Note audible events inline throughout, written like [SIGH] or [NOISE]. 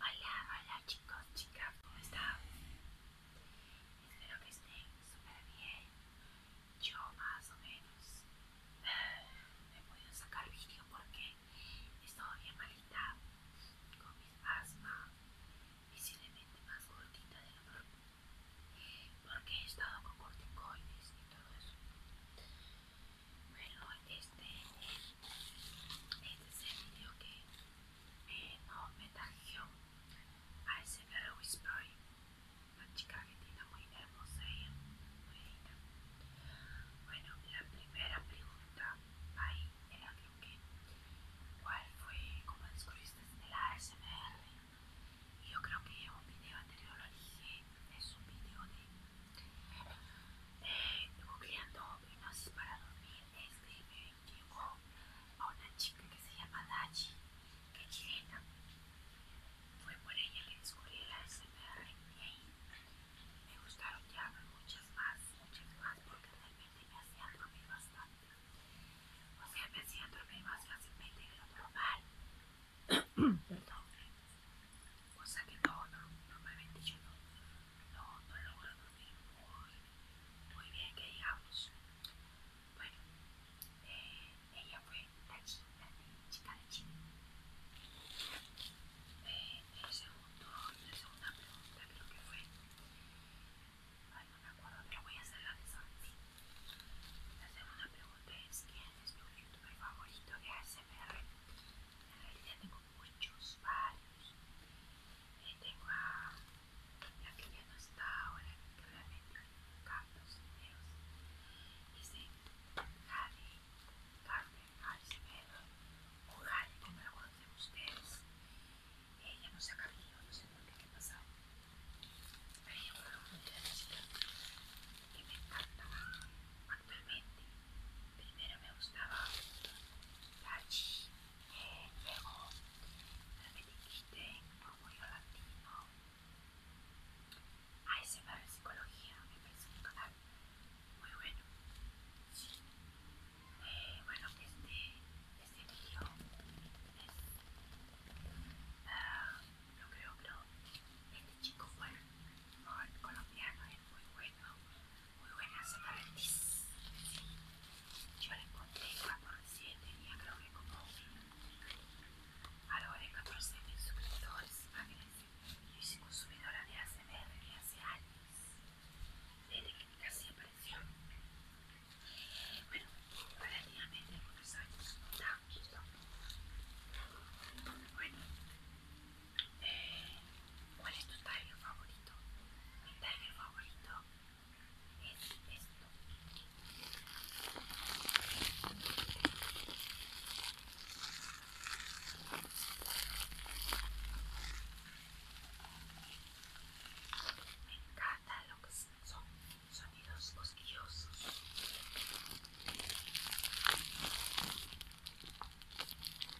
Hola, hola chicos, chicas, ¿cómo están? Espero que estén súper bien. Yo más o menos he [SIGHS] podido sacar vídeo porque he estado bien malita con mi asma, visiblemente más gordita de lo normal porque he estado con corticoides y todo eso este, es el video que me, eh, no, me a ese Whisper, una chica que tiene muy hermosa y muy Bueno, la primera pregunta ahí era creo que cuál fue cómo descubriste la ASMR. Y yo creo que un video anterior lo dije, es un video de eh, para dormir es que me a una chica que se llama Dachi, que es chilena. Fue por ella que descubrí la SMR y ahí me gustaron ya muchas más, muchas más, porque realmente me hacía dormir bastante. O sea, me hacía dormir más fácilmente de lo normal. [COUGHS] Perdón. O sea que todo, normalmente yo no no, no logro dormir muy, bien que digamos. Bueno, eh, ella fue la, la, chica de Chile. Eh, el segundo, la segunda pregunta creo que fue, ay no me acuerdo, pero voy a hacer la de Santi. La segunda pregunta es, ¿quién es tu youtuber favorito de ASMR? En realidad muchos, varios. tengo a la que ya no está ahora, que obviamente capta los videos. Dice Jade, Carmen, Harcevedo, o Jade, como la conocen ustedes. Ella no se ha cambiado, no sé por qué, pasó ha pasado. Pero ella fue una que me encanta actualmente. Primero me gustaba ch luego me dijiste Orgullo Latino, de Psicología, me parece un canal muy bueno. Sí. Eh, bueno, este, este video es, no creo, pero este chico fue colombiano, es muy bueno muy buenas tardes. Sí. Yo la encontré cuando y tenía, creo que como algo de 14 mil suscriptores. Imagínense, yo soy consumidora de ACMR desde hace años, desde que casi apareció. Bueno, relativamente algunos años, no Bueno, eh, ¿Cuál es tu taller favorito? Mi taller favorito es esto. Me encantan los son, sonidos cosquillosos.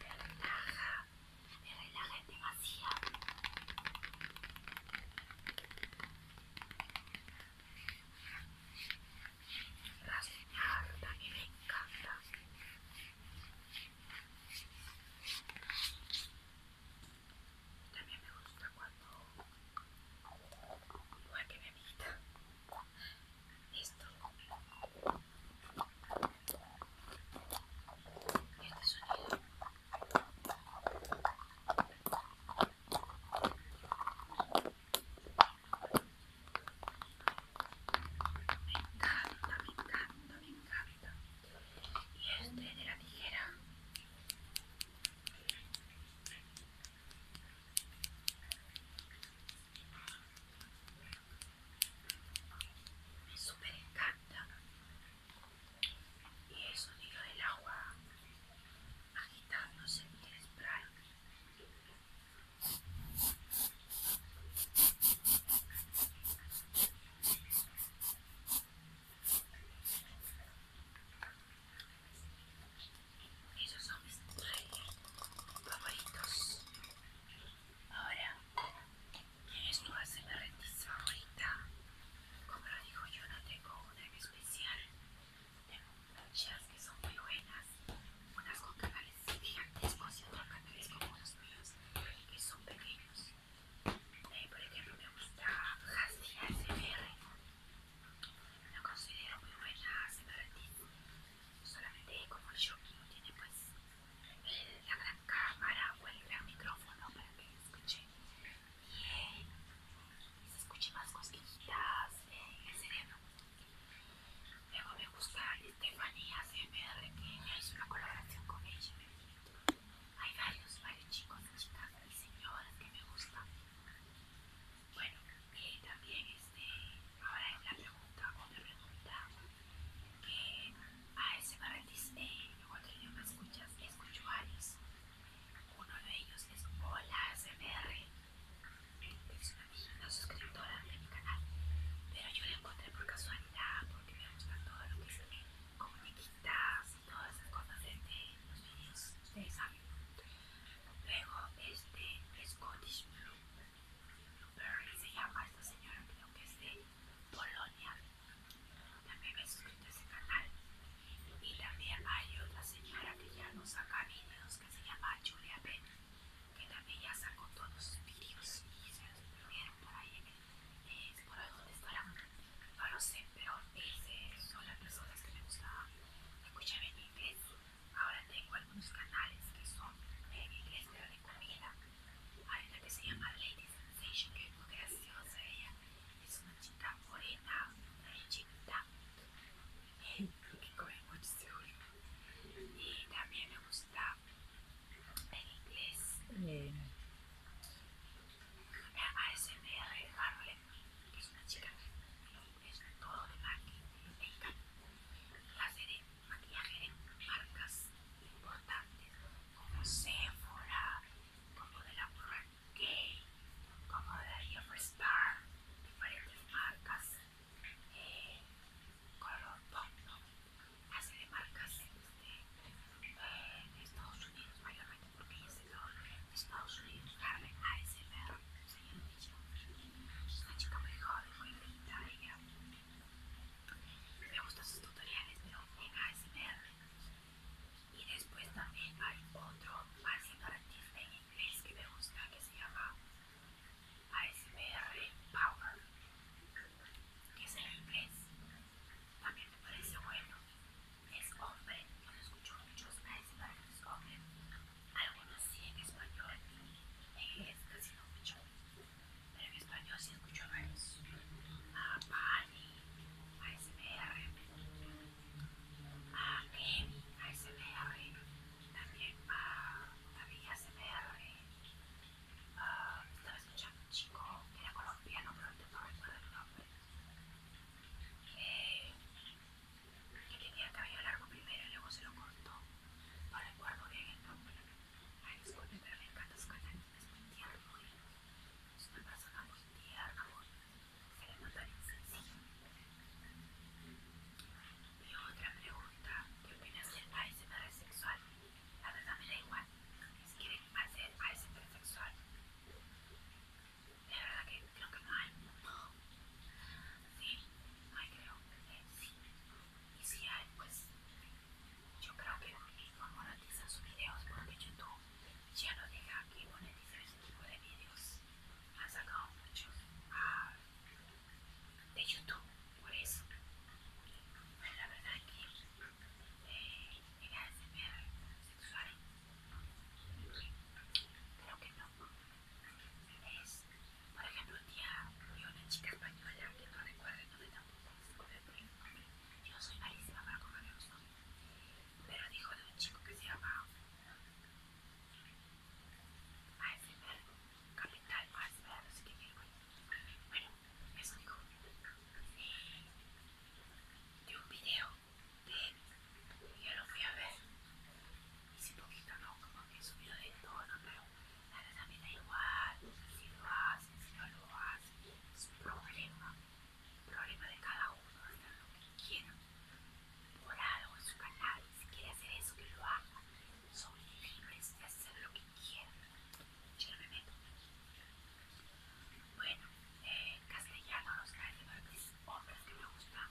que relaja, me relaja demasiado. La espalda a me encanta. También me gusta cuando Igual que mi amiguita. Esto Este sonido. Me encanta, me encanta, me encanta. Y este de la tijera me súper encanta y eso sonido del agua agitándose en el spray esos son mis favoritos. Ahora, ¿quién es tu ASMRTIS favorita? Como lo digo, yo no tengo una especial. Tengo muchas que son muy buenas. Unas con canales gigantescos y otras canales como los míos, que son pequeños. Eh, por ejemplo, me gusta Hasty ASMR la considero muy buena separatista, solamente como el shocking tiene pues la gran cámara o el gran micrófono para que escuche bien y se escuche más cosquillitas eh, en el cerebro. Luego me gusta Estefanía CMR que es una colaboración con ella. Hay varios, varios chicos, chicas y señoras que me gustan. Bueno, y también este, ahora es la pregunta otra pregunta que ASMR Disney, eh, en otro idioma escuchas, escucho varios. Uno de ellos es Hola ASMR, es una, una suscriptora de mi canal, pero yo la encontré por casualidad porque me gusta todo lo que es eh, quitas y todas esas cosas de, de los vídeos, ustedes saben. Luego este Scottish Blue, Blueberry se llama esta señora, creo que es de Polonia. También me he suscrito a ese canal. Y también hay otra señora que ya nos saca videos que se llama Julia Ben, que también ya sacó todos sus videos y se los por ahí. Eh, por ahí donde estarán, no lo sé, pero esas son las personas que me gusta escuchar en inglés. Ahora tengo algunos canales que son en inglés de de comida. Hay una que se llama Lady Sensation, que es muy graciosa ella. Es una chica morena, muy chiquita, eh, que mucho Y también me gusta el inglés. Eh, ASMR, Harley es una chica que es todo de marca me la Clase de maquillaje de marcas importantes como Sephora, como de la marca gay como de la Star, diferentes marcas, eh, color pop, ¿no? Clase de marcas este, de Estados Unidos mayormente porque se Estados Unidos, Carmen ASMR, una chica muy joven, muy bonita ella. Me gustan sus tutoriales, pero en ASMR. Y después también hay otro más artista en inglés que me gusta, que se llama ASMR Power, que es en inglés. También me parece bueno. Es hombre, yo no escucho muchos ASMR hombre algunos sí en español, en inglés casi no escucho, pero en español sí escucho varios, a Pani, a SMR, a Kemi, a SMR, también a David SMR, uh, ah, estaba escuchando un chico que era colombiano, pero no recuerdo el nombre. Eh, que tenía cabello largo primero y luego se lo cortó. el recuerdo bien el nombre. Ay, disculpe, pero me encanta su canal. Es muy tierno. ¿eh? Es una persona muy tierna. Se le nota bien sencillo. Y otra pregunta. ¿Qué opinas del ASMR sexual? La verdad me da igual. Si quieren hacer ASMR sexual. De verdad que creo que no hay, no. Sí, hay creo que sí. Y si hay, pues yo creo que no monetizan sus videos porque YouTube ya no deja que monetizar ese tipo de videos. Han sacado muchos ah, de YouTube, por eso. la verdad es que eh, era SMR sexual. Creo que no por ejemplo, un día murió una chica española que no recuerdo el nombre tampoco, Yo soy malísima para conversar pero dijo de un chico que se llama ASMR, Capital pero no sé qué quiero. Bueno, eso dijo. De un video de yo lo fui a ver poquito no, poquito que como que subido a pero pero nada me da igual. si lo hacen, si no lo hacen, es un problema. Problema de cada uno, hacer lo que quieran. Por algo es su canal. Si quiere hacer eso, que lo haga. Son libres de hacer lo que quieran. Yo me meto. Bueno, en eh, castellano los caracteres hombres que me gustan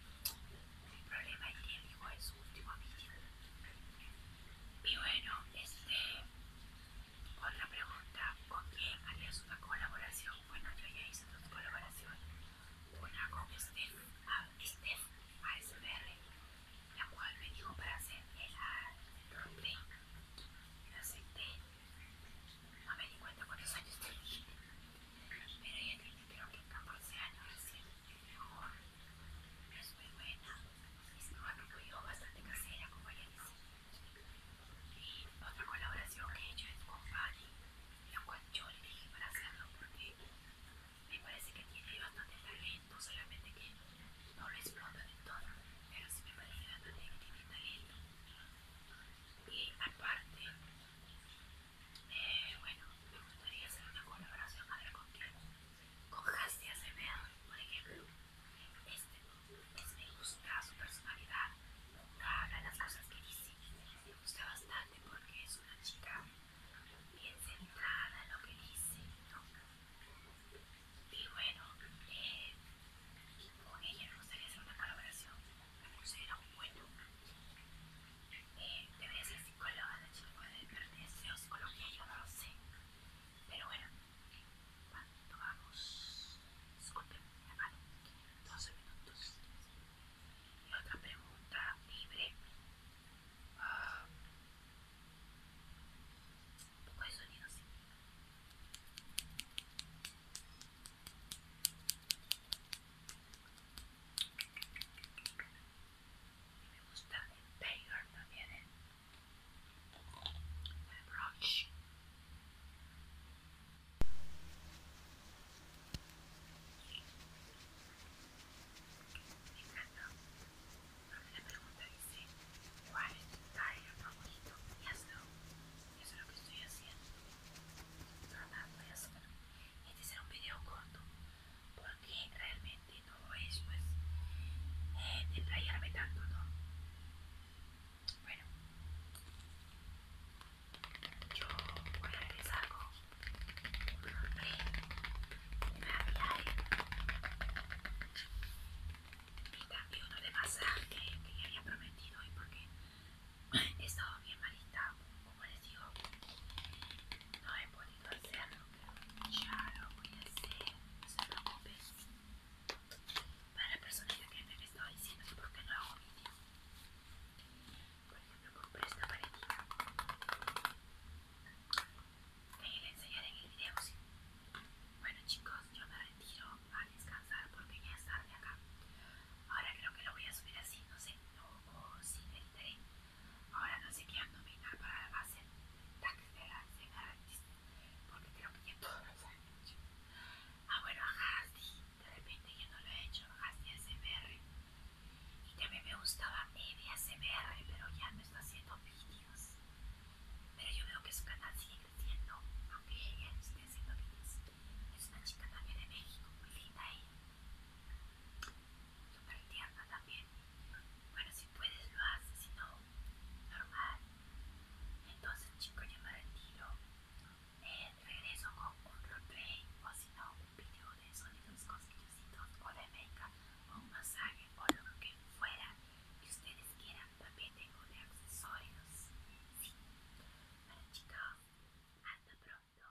El problema higiénico es su último vídeo. Y bueno, este. Otra pregunta: ¿con quién harías una colaboración? Bueno, yo ya hice dos colaboración. Una con Steph, uh, Steph ASMR, la cual me dijo para hacer el roleplay. Lo acepté. No me di cuenta cuántos años tenía. Pero ella tenía creo que 14 años, recién mejor, es muy buena, es una yo bastante casera, como le decía. Y otra colaboración que he hecho es con Fanny, la cual yo le dije para hacerlo porque me parece que tiene bastante talento, solamente que no lo explotan en todo, pero sí me parece bastante que tiene talento. Y aparte, eh, bueno, me gustaría hacer una colaboración a ver con quien, Con Hasti por ejemplo. Este me gusta su personalidad, habla las cosas que dice. Me gusta bastante porque es una chica bien centrada en lo que dice, Y bueno, eh, con ella me gustaría hacer una colaboración. Me un buen bueno. Eh, debería ser psicóloga la chica, de o ser psicología, yo no lo sé. Pero bueno, cuando vamos, disculpen, 12 minutos. Y otra pregunta libre. un ah, poco de sonido, sí y me gusta el Tiger también el, ¿eh? el brush me encanta porque la pregunta dice ¿cuál es tu Tiger favorito? y eso, y eso es lo que estoy haciendo pero nada voy a hacer este será un video corto porque realmente todo eso es eh, tanto, ¿no? Bueno, yo voy a regresar con un hombre, un aviario y también uno de masaje que ya había prometido y porque he estado bien malita como les digo, no he podido hacerlo, ya lo voy a hacer, no se Para la persona que me estaba diciendo que por qué no hago vídeo, por ejemplo, compré esta paletita. Ahí le enseñaré en el video. Bueno, chicos, yo me retiro a descansar porque ya es de acá. Ahora creo que lo voy a subir así, no sé, o, si me editaré. Ahora no sé qué ando para la base tax de la CMRX, porque creo que ya todos han Ah, bueno, a de repente ya no lo he hecho, a SBR ASMR. Y también me gustaba Evi ASMR, pero ya no está haciendo vídeos. Pero yo veo que su canal sigue creciendo, aunque ella esté haciendo vídeos. Es una chica también de México, muy linda ella súper tierna también. Bueno, si puedes lo haces, si no, normal. Entonces, chicos, ya me retiro. Eh, regreso con un roleplay o si no, un video de sonidos cosquillositos o de makeup o un masaje o lo que fuera que ustedes quieran. También tengo de accesorios. Sí. Bueno, chicos, hasta pronto.